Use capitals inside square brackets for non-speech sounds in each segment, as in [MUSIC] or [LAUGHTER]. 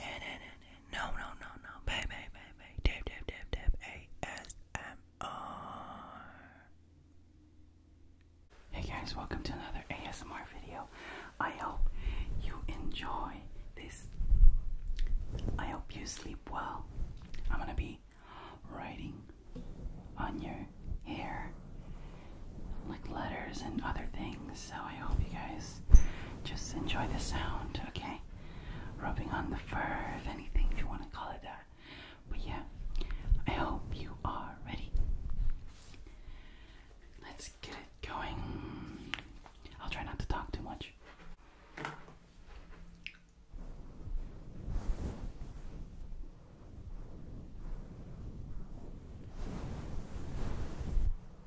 No, no, no, no. Babe, babe, babe, babe. ASMR. Hey guys, welcome to another ASMR video. I hope you enjoy this. I hope you sleep well. I'm gonna be writing on your hair like letters and other things so I hope you guys just enjoy the sound, okay? Rubbing on the fur, if anything, if you want to call it that. But yeah, I hope you are ready. Let's get it going. I'll try not to talk too much.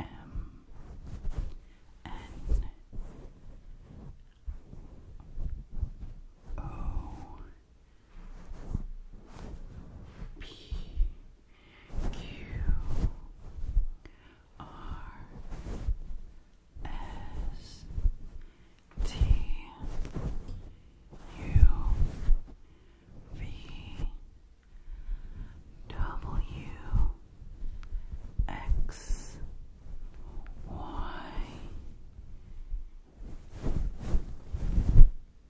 M N O P Q R S T U V W X Y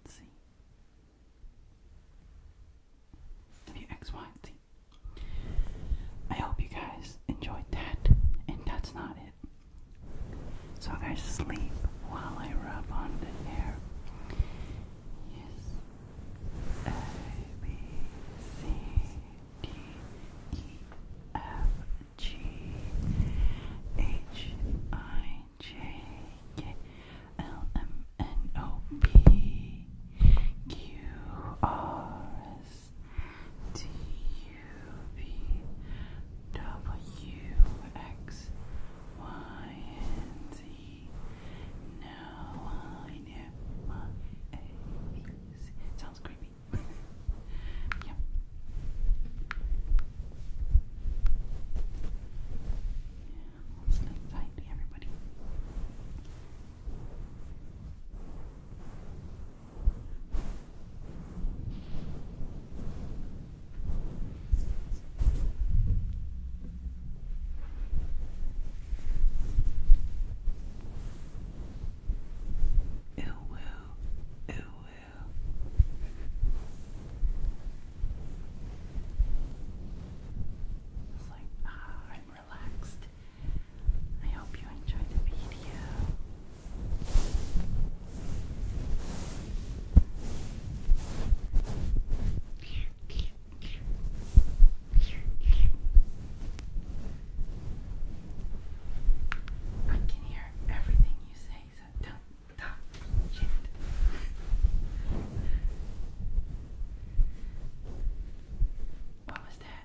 Z W X Y Z I hope you guys enjoyed that, and that's not it. So I sleep while I rub on the hair. Yes. A, B, C, D, E, F, G, H, I, J, K, L, M, N, O, P, Q, R, S, T U B W X Y Sounds creepy. yeah. [LAUGHS] Yeah, let's sleep everybody. Ill will, ill will. It's like, ah, I'm relaxed. I hope you enjoyed the video. I can hear everything you say, so don't talk What was that?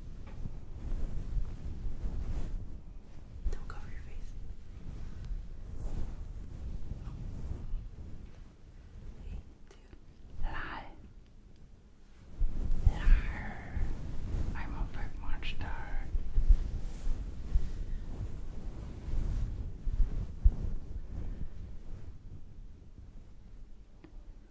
Don't cover your face. Hey, I'm a big monster.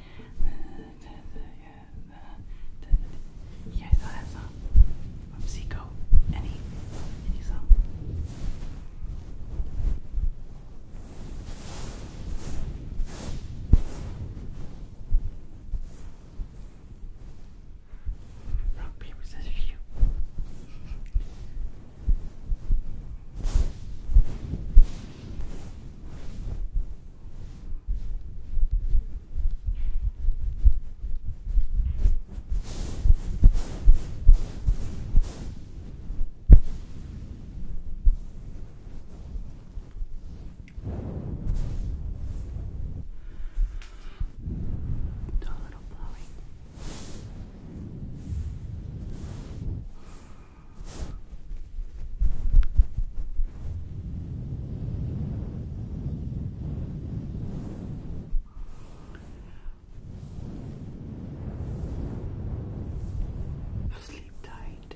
You guys know that song from Zico? Any, any song? Rock, paper, scissors, you. Do a little blowing. Sleep tight.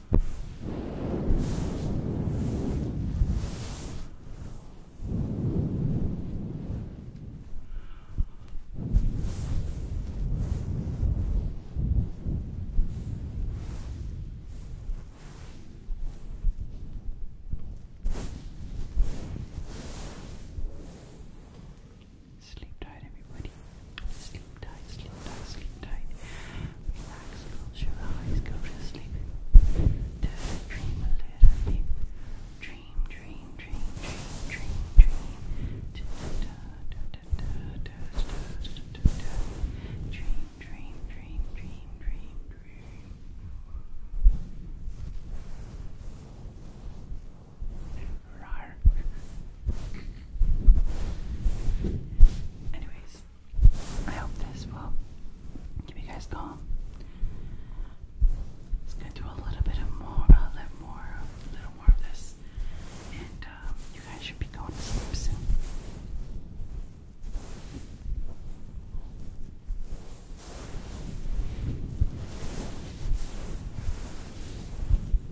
Sleep tight, everybody sleep, tight, sleep tight, sleep tight. Relax, close your eyes, go to sleep. dream a little bit. Dream, dream, dream, dream, dream, dream. Dream, dream, dream, dream, dream, dream. Anyways, I hope this will keep you guys calm. It's gonna do a little bit of more, a little more, a little more of this, and um, you guys should be going to sleep soon.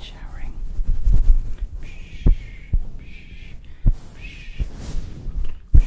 Showering. Psh, psh, psh, psh, psh, psh.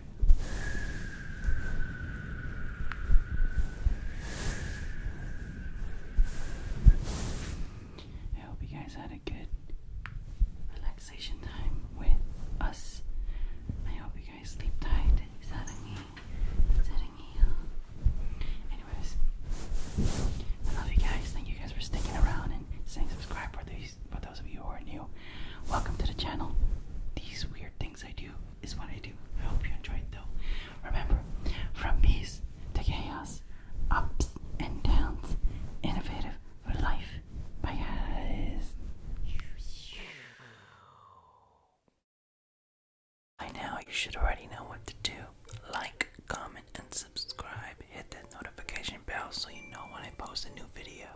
I hope you guys had a good relaxation time with us. I hope you guys sleep tight. Sarangi. Sarangi. Anyways, I love you guys. Thank you guys for sticking around and saying subscribe for those of you who are new. Welcome to the channel. These weird things I do is what I do. I hope you enjoy it, though. Remember, from peace to chaos, ups and downs, innovative for life. Bye guys. By now you should already know what to do. Like, comment, and subscribe. Hit that notification bell so you know when I post a new video.